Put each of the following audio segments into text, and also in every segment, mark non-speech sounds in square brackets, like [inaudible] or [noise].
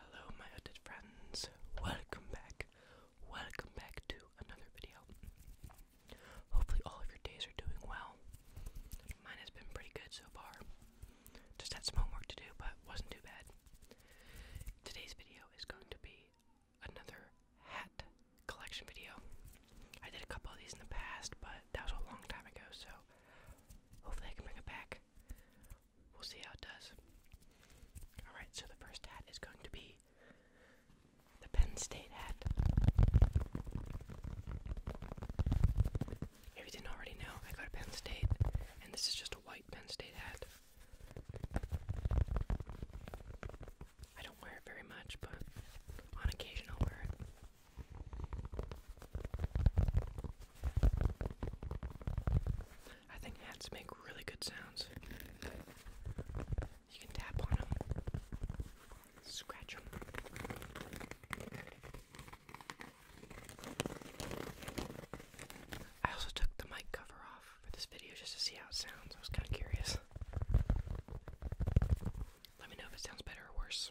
Hello, my hooded friends. Welcome back. Welcome back to another video. Hopefully, all of your days are doing well. Mine has been pretty good so far. Just had some homework to do, but wasn't too bad. Today's video is going to be another hat collection video. I did a couple of these in the past, but that was a long time ago, so hopefully I can bring it back. We'll see how it does. Alright, so the first hat is going to be the Penn State hat. If you didn't already know, I go to Penn State, and this is just a white Penn State hat. I don't wear it very much, but on occasion I'll wear it. I think hats make really good sounds. You can tap on them, scratch them. I also took the mic cover off for this video just to see how it sounds. I was kind of curious. Let me know if it sounds better or worse.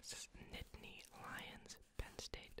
This is Nittany Lions, Penn State.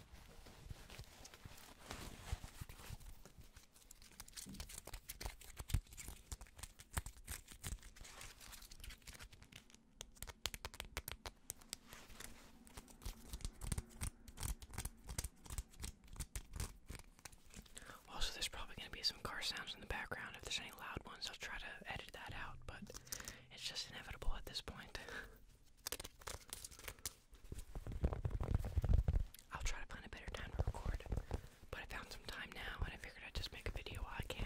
Also, there's probably going to be some car sounds in the background. If there's any loud ones, I'll try to edit that out, but it's just inevitable at this point. [laughs] I'll try to find a better time to record, but I found some time now and I figured I'd just make a video while I can.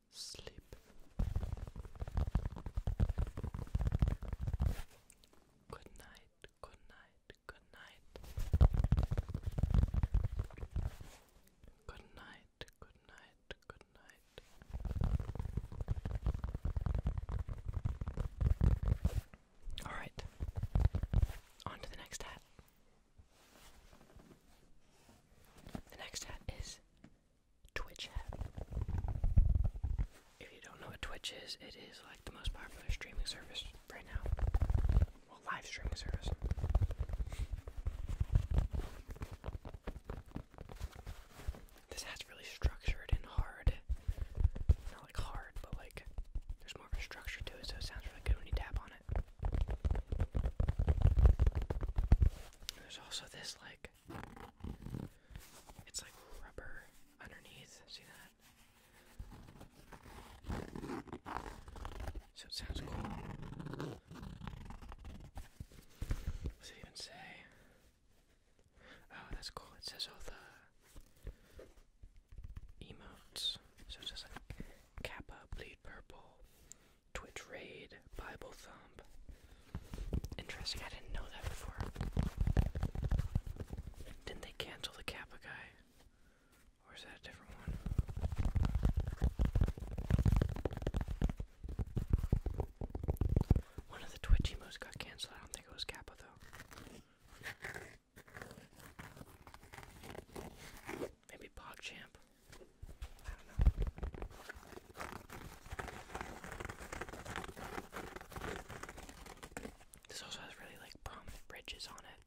sleep. Good night, good night, good night. Good night, good night, good night. Alright, on to the next hat. The next hat is Twitch hat. If you don't know what Twitch is, it is like the most popular streaming service right now. Well, live streaming service. This hat's really structured and hard. Not like hard, but like there's more of a structure to it, so it sounds really good when you tap on it. There's also this like it's like rubber underneath. See that? So it sounds cool. What does it even say? Oh, that's cool. It says all the emotes. So it's just like Kappa, bleed purple, Twitch raid, Bible thump. Interesting, I didn't know that before. Didn't they cancel the Kappa guy? Or is that a different one? One of the Twitch emotes got canceled. I don't think it was Kappa though. Maybe PogChamp. This also has really like prominent ridges on it.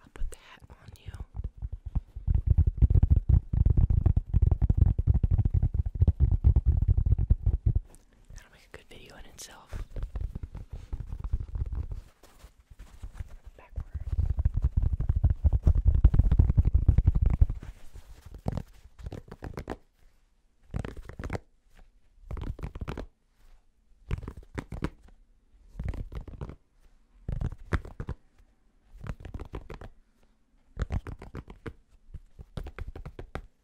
I'll put the on you. That'll make a good video in itself.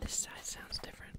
This side sounds different.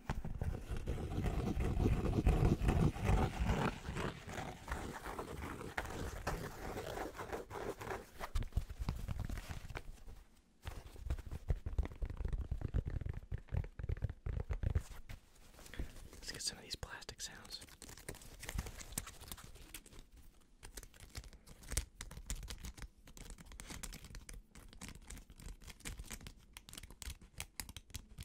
Let's get some of these plastic sounds.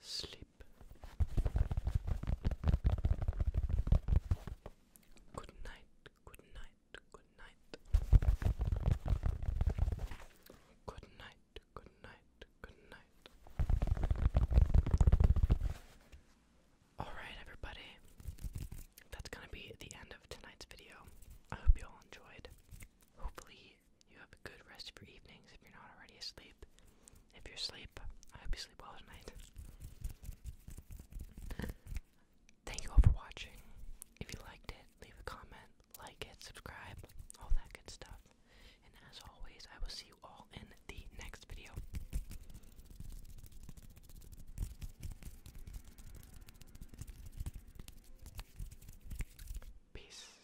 sleep. Good night, good night, good night. Good night, good night, good night. Alright, everybody. That's gonna be the end of tonight's video. I hope you all enjoyed. Hopefully, you have a good rest of your evenings if you're not already asleep. If you're asleep, I hope you sleep well tonight. Thank you all for watching. If you liked it, leave a comment, like it, subscribe, all that good stuff. And as always, I will see you all in the next video. Peace.